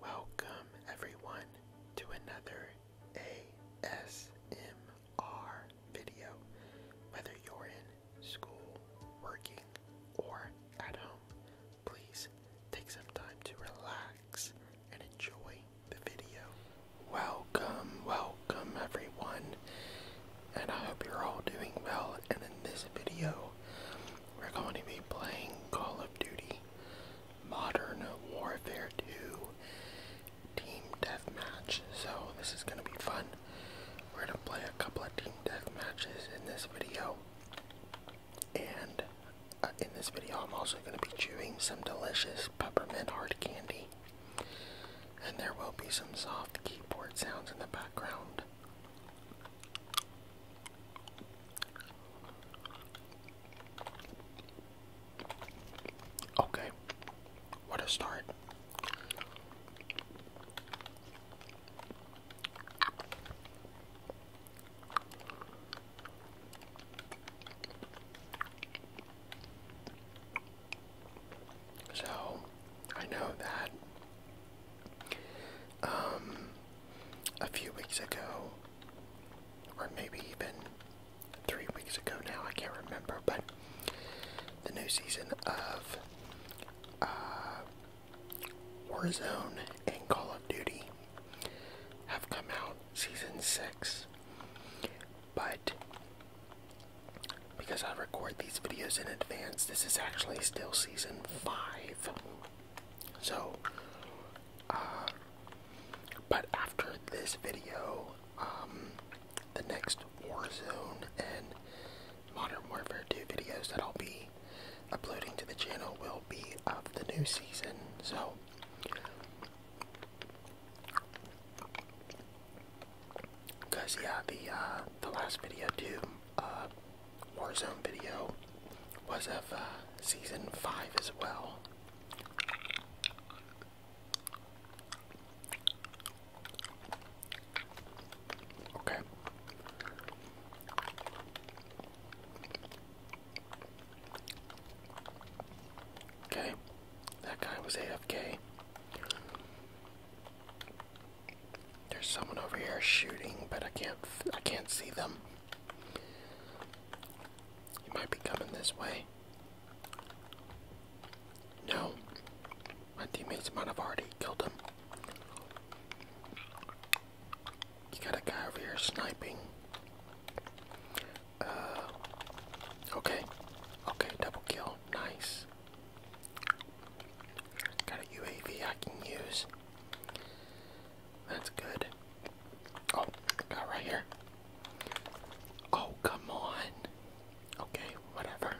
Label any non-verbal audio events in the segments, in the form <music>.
Welcome, everyone, to another ASMR video. Whether you're in school, working, or at home, please take some time to relax and enjoy the video. Welcome, welcome, everyone, and I hope you're all doing well. And in this video, we're going to be playing Call of Duty. Modern Warfare 2 Team Deathmatch. So this is going to be fun. We're going to play a couple of Team Deathmatches in this video. And uh, in this video I'm also going to be chewing some delicious peppermint hard candy. And there will be some soft keyboard sounds in the background. Okay, what a start. So, I know that um, a few weeks ago or maybe even three weeks ago now, I can't remember, but the new season of uh, Warzone and Call of Duty have come out, season 6. But because I record these videos in advance, this is actually still season 5. So, um, but after this video, um, the next Warzone and Modern Warfare 2 videos that I'll be uploading to the channel will be of the new season. So, because yeah, the uh, the last video too, uh, Warzone video was of uh, season five as well. Okay. Okay, that guy was AFK. There's someone over here shooting, but I can't I can't see them. You might be coming this way. No. My teammates might have already killed him. You got a guy over here sniping. Uh, okay. Okay, double kill. Nice. Got a UAV I can use. That's good. Oh, got right here. Oh, come on. Okay, whatever.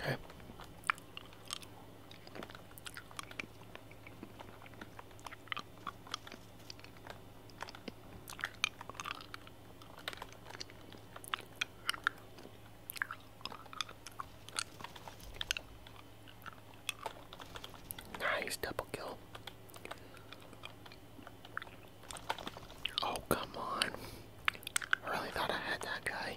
Okay. Nice double kill. Oh, come on. really thought I had that guy.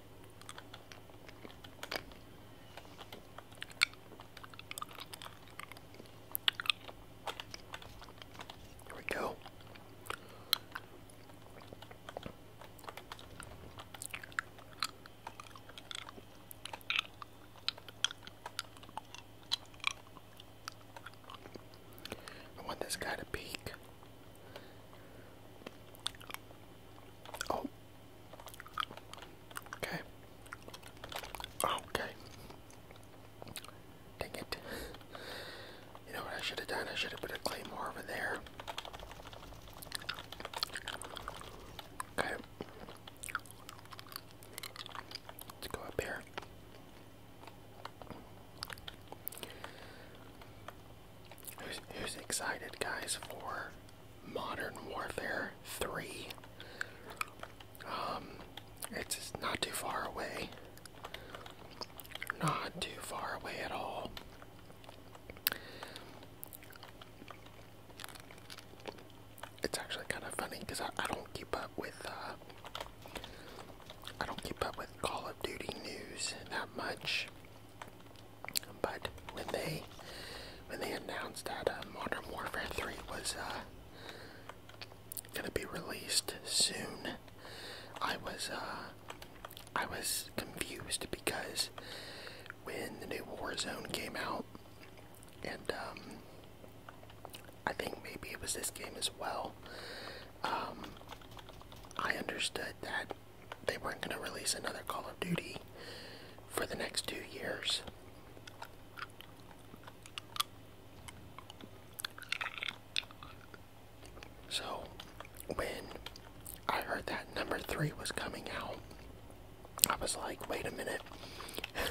There we go. I want this guy to peek. Oh, Okay. Okay. Dang it. You know what I should have done? I should have put a claymore over there. Okay. Let's go up here. Who's, excited, guys, for Modern Warfare 3. Um, it's not too far away. Not too far away at all. It's actually kind of funny because I, don't keep up with uh, I don't keep up with Call of Duty news that much. But when they when they announced that uh, Modern Warfare 3 was uh, gonna be released soon, I was uh, I was confused because when the new Warzone came out, and um, I think maybe it was this game as well. Um, I understood that they weren't going to release another Call of Duty for the next two years. So, when I heard that number three was coming out, I was like, wait a minute. <laughs>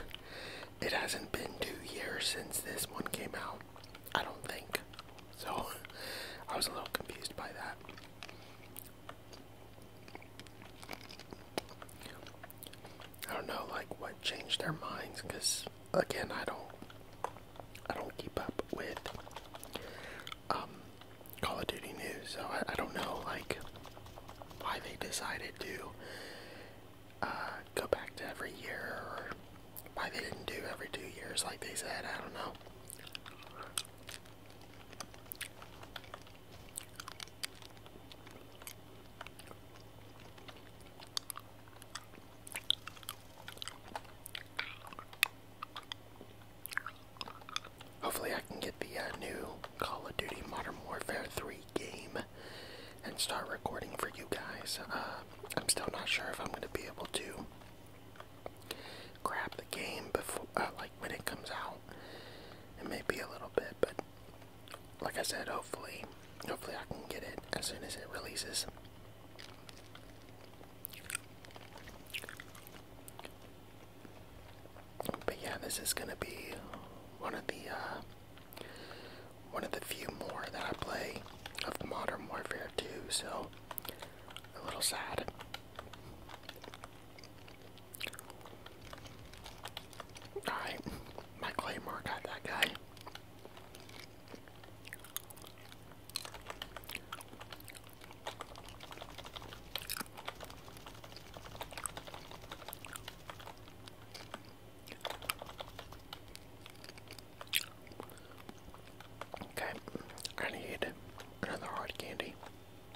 it hasn't been two years since this one came out. I don't think. So, <laughs> I was a little confused by that. I don't know, like what changed their minds, because again, I don't, I don't keep up with um, Call of Duty news, so I, don't know, like why they decided to uh, go back to every year, or why they didn't do every two years like they said. I don't know. Hopefully, I can get the uh, new Call of Duty Modern Warfare 3 game and start recording for you guys. Uh, I'm still not sure if I'm going to be able to grab the game before, uh, like when it comes out. It may be a little bit, but like I said, hopefully, hopefully I can get it as soon as it releases. But yeah, this is gonna be one of the uh, one of the few more that I play of the Modern Warfare 2, so a little sad. Alright, my claymore got that guy. Okay, I need another hard candy.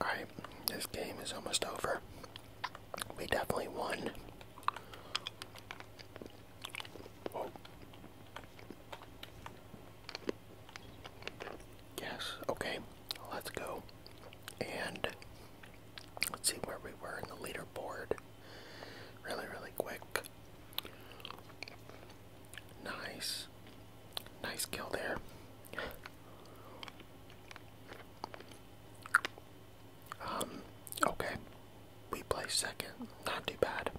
Alright, this game is almost over. We definitely won. Yes, okay, let's go. And let's see where we were in the leaderboard really, really quick. Nice. Nice kill there. Um, okay. We play second. Not too bad.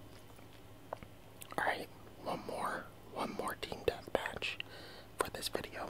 Alright, one more. One more team deathmatch for this video.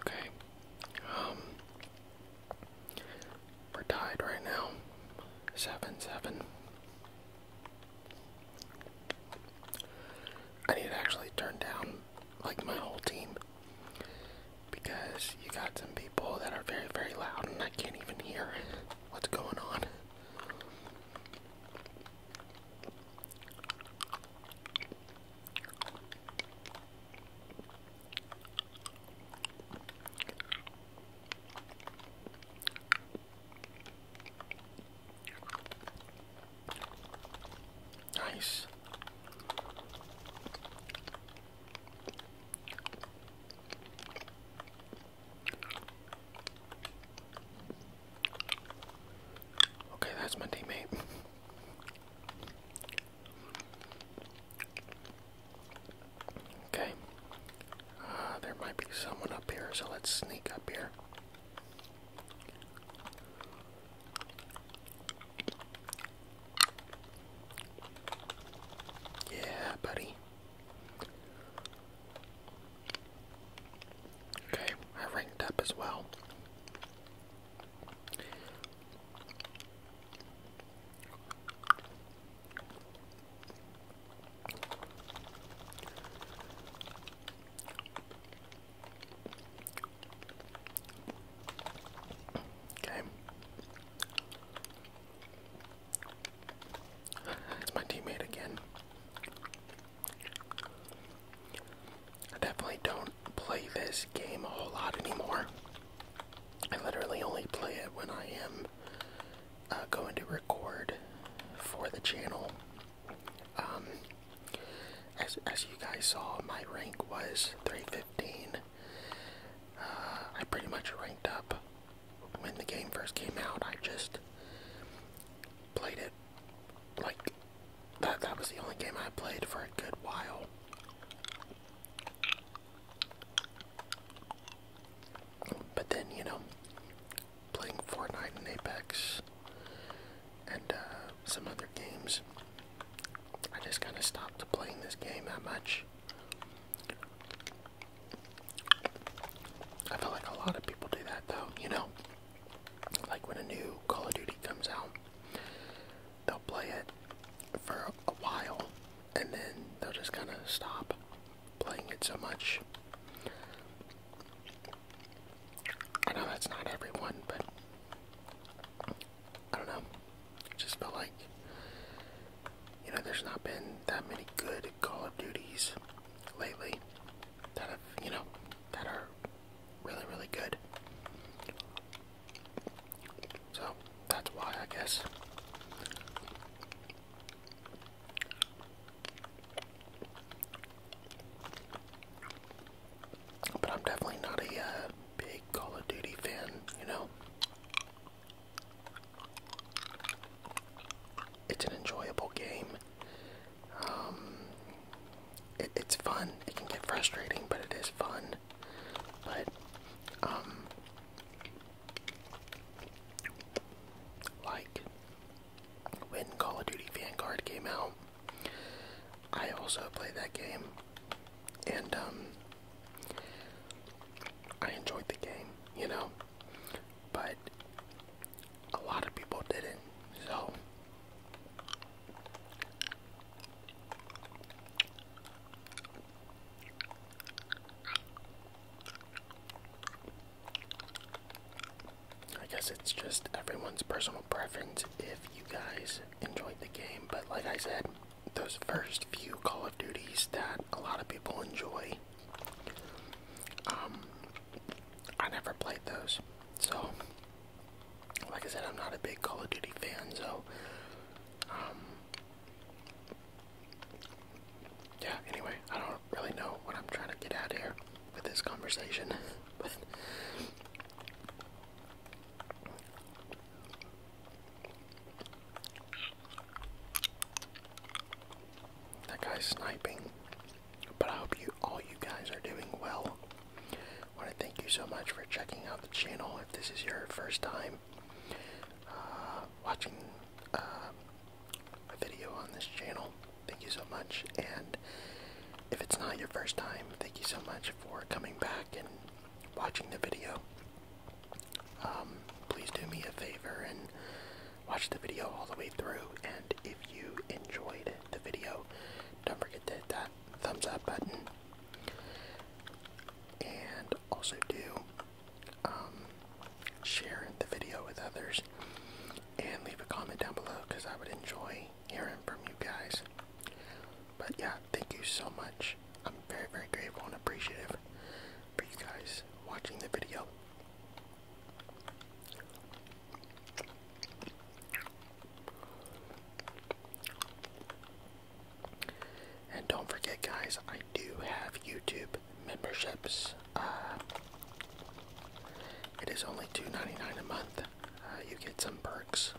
Okay. Um, we're tied right now. Seven seven. I need to actually turn down like my whole team because you got some people that are very, very loud and I can't even hear what's going on. Nice. Okay, that's my teammate. <laughs> Okay. Uh, there might be someone up here, so let's sneak up here. Yeah, buddy. Okay, I ranked up as well. Okay. it's my teammate again. I definitely don't play this game a whole lot anymore. I literally only play it when I am uh, going to record for the channel. Um, as, as you guys saw, my rank was 315. Uh, I pretty much ranked up when the game first came out. I just played it like that. That was the only game I played for a good while. But then, you know, playing Fortnite and Apex and uh, some other games. I just kind of stopped playing this game that much. I feel like a lot of people do that though, you know? Like when a new Call of Duty comes out, they'll play it for a while and then they'll just kind of stop playing it so much. I know that's not everyone, but I don't know. just felt like you know there's not been that many good Call of Duties lately that have you know that are really really good. So that's why I guess. But I'm definitely not a uh, big Call of Duty fan, you know? It's an enjoyable game. Um, it's fun. It can get frustrating, but it is fun. But, um, like, when Call of Duty Vanguard came out. I also played that game, and um, I enjoyed the game, you know, but a lot of people didn't, so. I guess it's just everyone's personal preference if you guys enjoyed the game, but like I said, those first few Call of Duties that a lot of people enjoy, um, I never played those. So, like I said, I'm not a big Call of Duty fan, so, um, yeah, anyway, I don't really know what I'm trying to get out here with this conversation, <laughs> but that guy's sniping. But I hope you all you guys are doing well. I want to thank you so much for checking out the channel. If this is your first time uh, watching uh, video on this channel. Thank you so much. And if it's not your first time, thank you so much for coming back and watching the video. Um, please do me a favor and watch the video all the way through. And if you enjoyed the video, don't forget to hit that thumbs up button. And also do um, share the video with others, and leave a comment down below because I would enjoy hearing from you guys. But yeah, thank you so much. I'm very, very grateful and appreciative for you guys watching the video. And don't forget, guys, I do have YouTube membership memberships. Uh, it is only two ninety nine a month. Uh, you get some perks,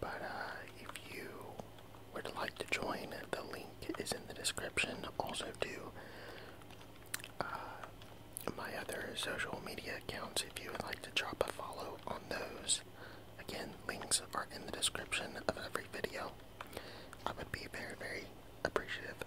but uh, if you would like to join, the link is in the description. Also, do uh, my other social media accounts if you would like to drop a follow on those. Again, links are in the description of every video. I would be very, very appreciative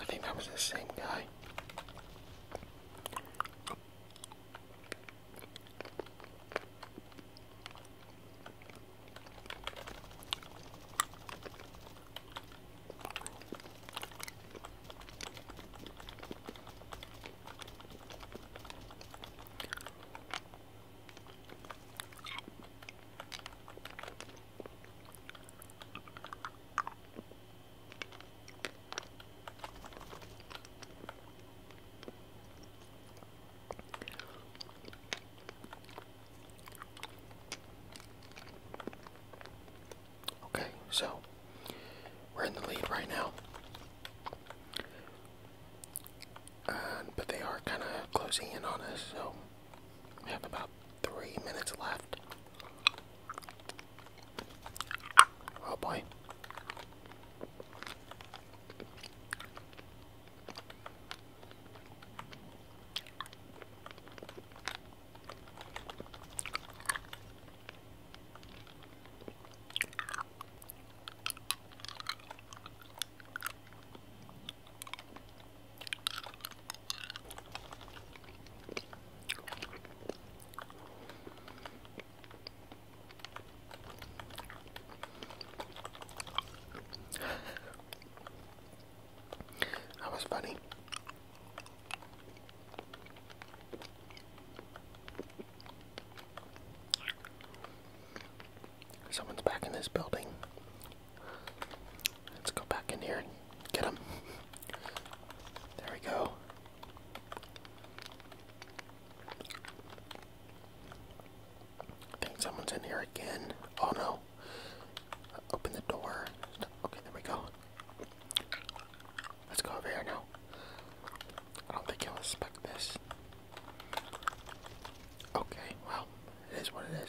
I think that was the same guy. Okay, so we're in the lead right now but they are kind of closing in on us, so we have about three minutes left. Oh boy that was funny. Someone's back in this building. Let's go back in here and get him. There we go. I think someone's in here again. Oh no. Uh, open the door. Okay, there we go. Let's go over here now. I don't think he'll expect this. Okay, well, it is what it is.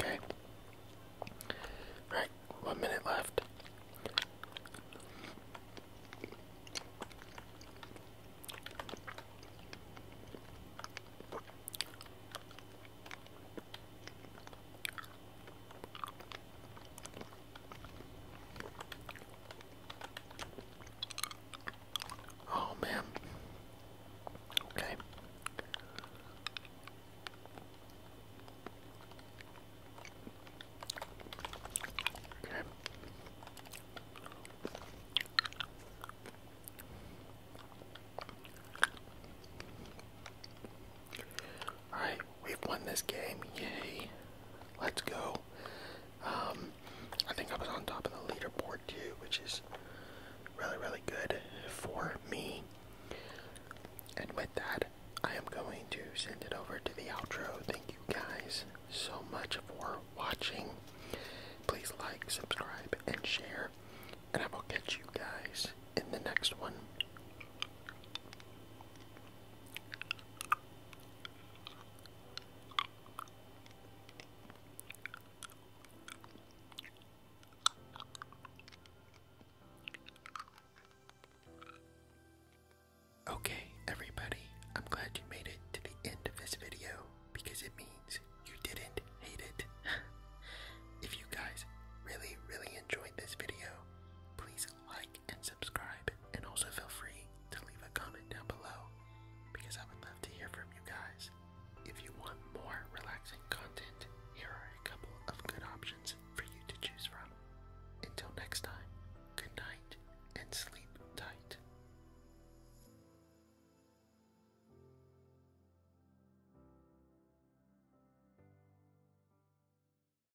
Okay. All right, one minute left. Oh man. Okay. Okay. Alright, we've won this game. Yay. Let's go. Um, I think I was on top of the leaderboard too, which is really, really good for me. And with that, I am going to send it over to the outro. Thank you guys so much for watching. Please like, subscribe, and share. And I will catch you guys in the next one. Okay, everybody, I'm glad you made it to the end of this video because it means you didn't hate it. <laughs> if you guys really, really enjoyed this video, please like, and subscribe, and also feel free to leave a comment down below because I would love to hear from you guys. If you want more relaxing content, here are a couple of good options for you to choose from. Until next time, good night and sleep tight.